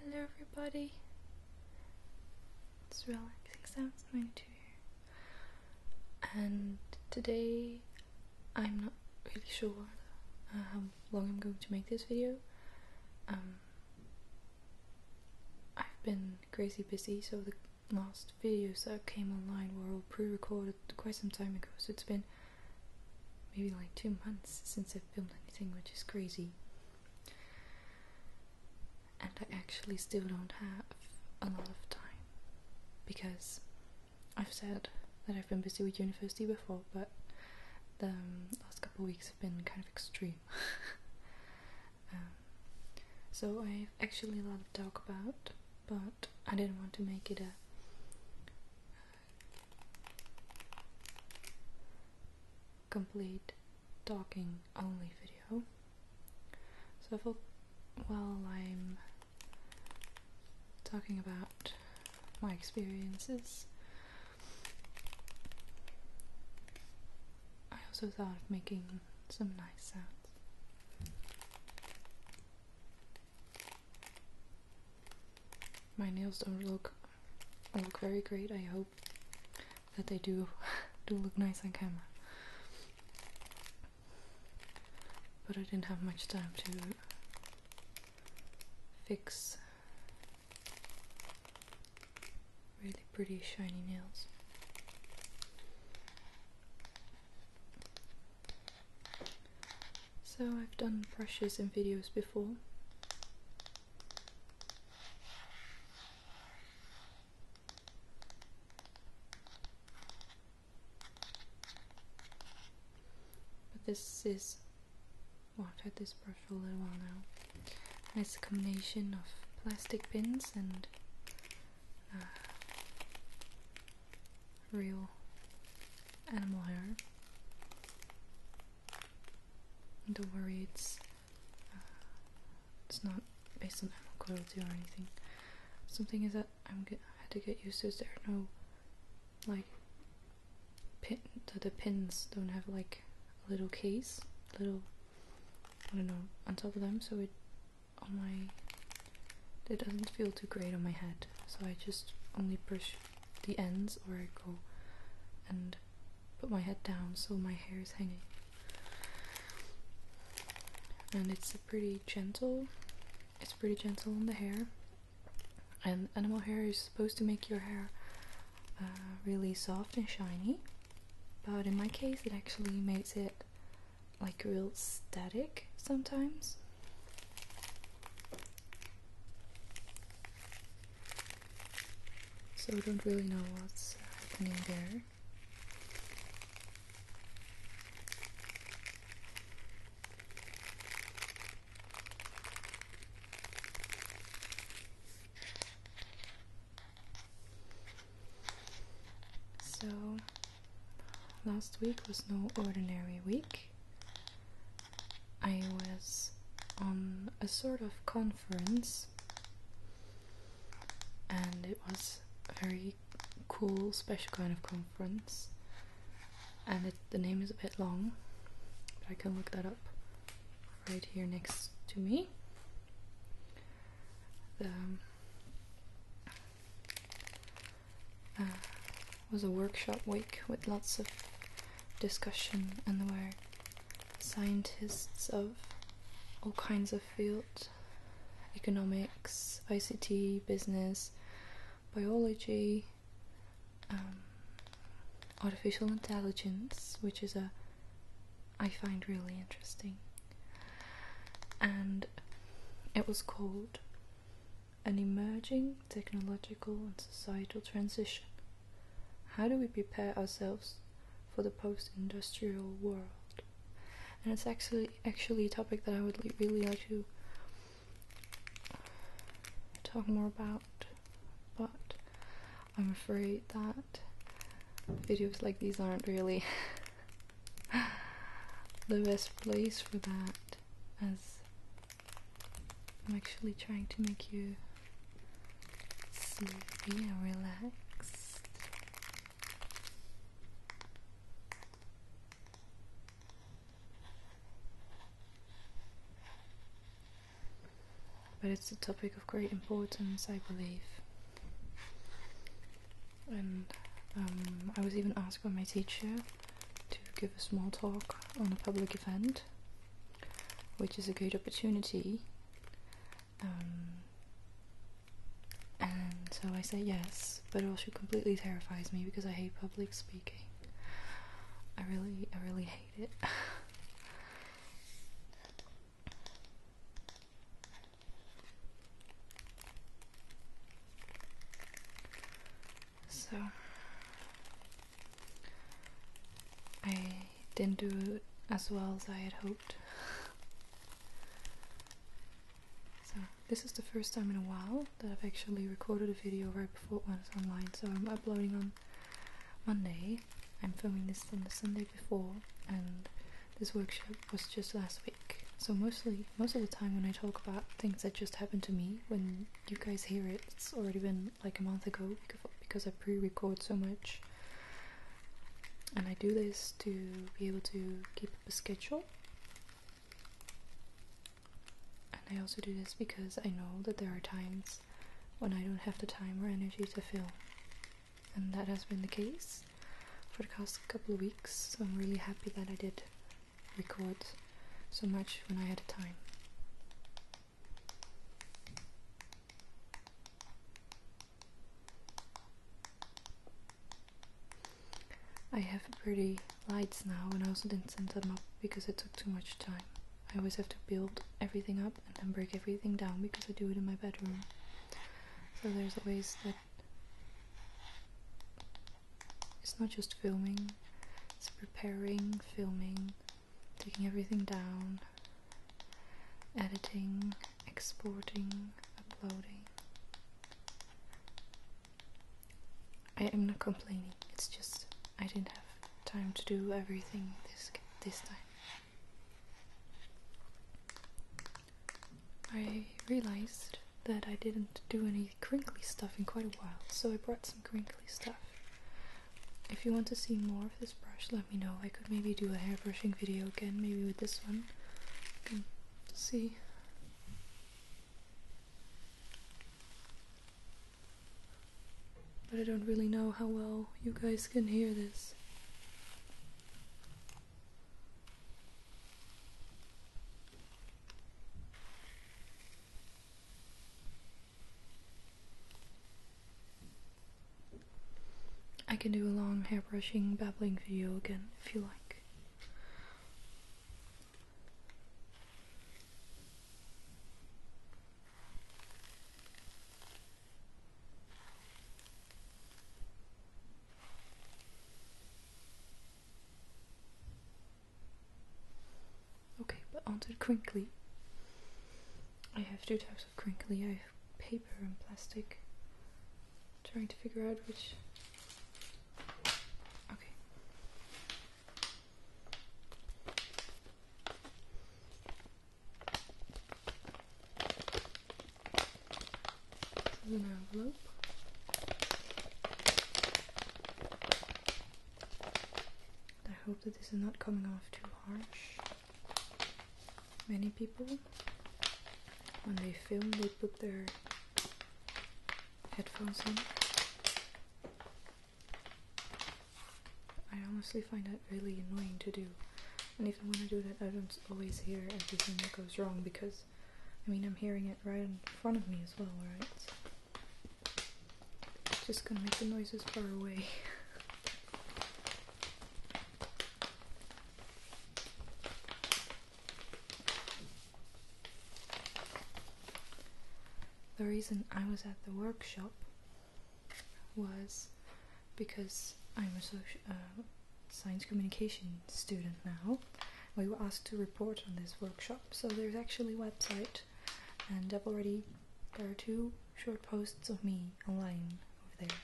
Hello everybody. It's relaxing sounds 92 here. And today I'm not really sure uh, how long I'm going to make this video. Um, I've been crazy busy so the last videos that came online were all pre-recorded quite some time ago so it's been maybe like two months since I've filmed anything, which is crazy. And I actually still don't have a lot of time because I've said that I've been busy with university before, but the um, last couple of weeks have been kind of extreme. Um, so I've actually a lot to talk about, but I didn't want to make it a complete talking only video. So while I'm talking about my experiences, I also thought of making some nice sounds. My nails don't look look very great. I hope that they do do look nice on camera. But I didn't have much time to fix really pretty shiny nails. So I've done brushes and videos before. But this is well I've had this brush for a little while now. And it's a combination of plastic pins and uh, real animal hair. Don't worry, it's uh, it's not based on animal cruelty or anything. Something is that I'm get, I had to get used to is there are no like pin the, the pins don't have like a little case, little I don't know on top of them, so it on my it doesn't feel too great on my head. So I just only push the ends where I go and put my head down so my hair is hanging. And it's pretty gentle, it's pretty gentle on the hair. And animal hair is supposed to make your hair uh, really soft and shiny, but in my case, it actually makes it like real static sometimes. So we don't really know what's happening there. So last week was no ordinary week. I was on a sort of conference and it was a very cool special kind of conference and the name is a bit long but I can look that up right here next to me uh, was a workshop week with lots of discussion, and there were scientists of all kinds of fields economics, ICT, business, biology, um, artificial intelligence, which is a I find really interesting. And it was called an emerging technological and societal transition. How do we prepare ourselves for the post-industrial world? And it's actually actually a topic that I would really like to talk more about, but I'm afraid that videos like these aren't really the best place for that, as I'm actually trying to make you sleepy and relaxed. But it's a topic of great importance, I believe. And um, I was even asked by my teacher to give a small talk on a public event, which is a great opportunity. Um, and so I say yes, but it also completely terrifies me because I hate public speaking. I really, I really hate it. So I didn't do as well as I had hoped. So this is the first time in a while that I've actually recorded a video right before it went online. So I'm uploading on Monday. I'm filming this on the Sunday before, and this workshop was just last week. So mostly, most of the time when I talk about things that just happened to me when you guys hear it, it's already been like a month ago because I pre-record so much. And I do this to be able to keep a schedule. And I also do this because I know that there are times when I don't have the time or energy to film. And that has been the case for the past couple of weeks, so I'm really happy that I did record so much when I had time. I have pretty lights now and I also didn't send them up because it took too much time. I always have to build everything up and then break everything down because I do it in my bedroom. So there's always that it's not just filming, it's preparing, filming, taking everything down, editing, exporting, uploading. I am not complaining, it's just I didn't have time to do everything this this time. I realized that I didn't do any crinkly stuff in quite a while, so I brought some crinkly stuff. If you want to see more of this brush, let me know. I could maybe do a hair brushing video again, maybe with this one. see. But I don't really know how well you guys can hear this. I can do a long hairbrushing babbling video again if you like. Okay, but onto crinkly. I have two types of crinkly. I have paper and plastic. trying to figure out which. Okay. I hope that this is not coming off too harsh. Many people, when they film, they put their headphones in. I honestly find that really annoying to do. And even when I do that, I don't always hear everything that goes wrong because I mean I'm hearing it right in front of me as well, right? just gonna make the noises far away. the reason I was at the workshop was because I'm a uh, science communication student now. We were asked to report on this workshop, so there's actually a website, and I've already there are two short posts of me online over there.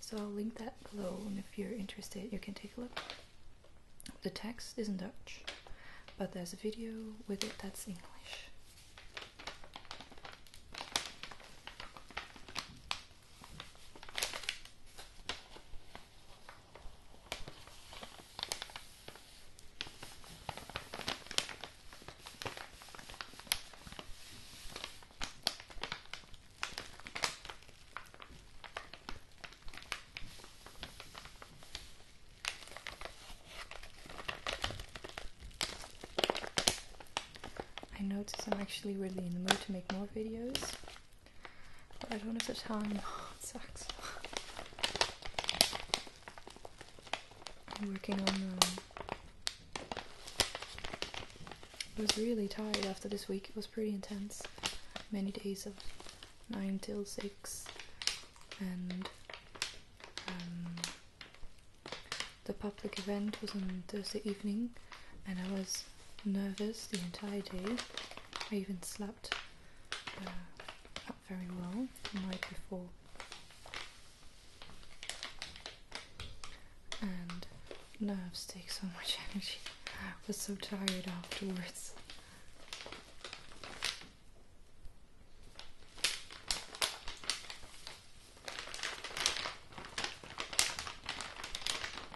So I'll link that below, and if you're interested, you can take a look. The text is in Dutch, but there's a video with it that's English. I notice I'm actually really in the mood to make more videos I don't have the time. Oh, it sucks. I'm working on um, I was really tired after this week. It was pretty intense. Many days of 9 till 6 and um, the public event was on Thursday evening and I was nervous the entire day. I even slept uh, not very well the night before. And nerves take so much energy. I was so tired afterwards.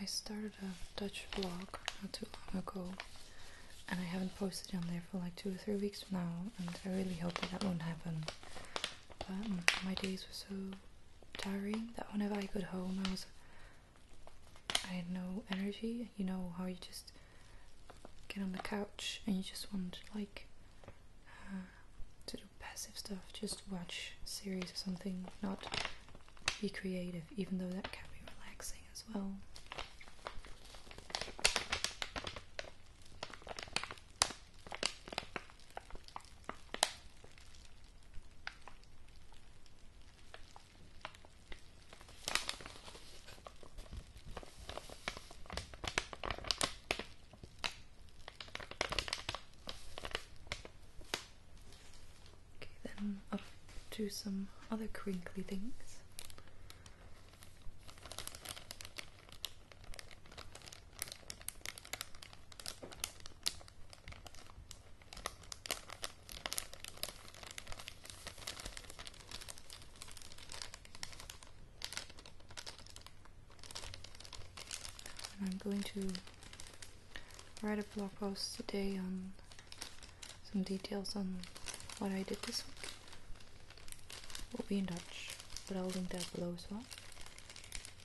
I started a Dutch blog not too long ago and I haven't posted on there for like two or three weeks now and I really hope that that won't happen but mm, my days were so tiring that whenever I got home I was I had no energy. You know how you just get on the couch and you just want like uh, to do passive stuff, just watch series or something, not be creative, even though that can be relaxing as well. Okay, then up to some other crinkly things. I'm going to write a blog post today on some details on what I did this week. We'll be in touch, but I'll link that below as well.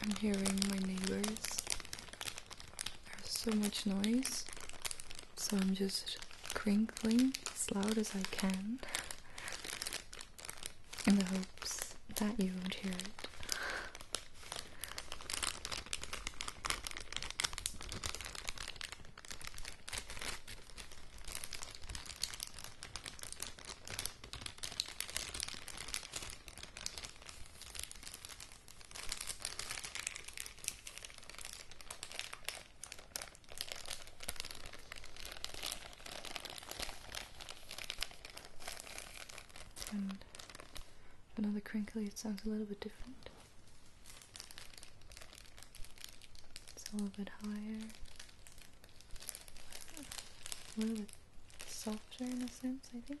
I'm hearing my neighbors. There's so much noise so I'm just crinkling as loud as I can in the hopes that you won't hear it. And another crinkly, it sounds a little bit different. It's a little bit higher, a little bit softer in a sense, I think.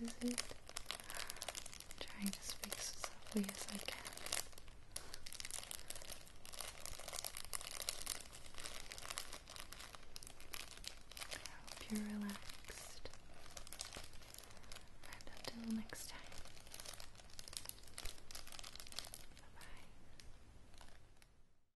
This is, it. i trying to speak softly as I can. I hope you're relaxed. And until next time. Bye bye.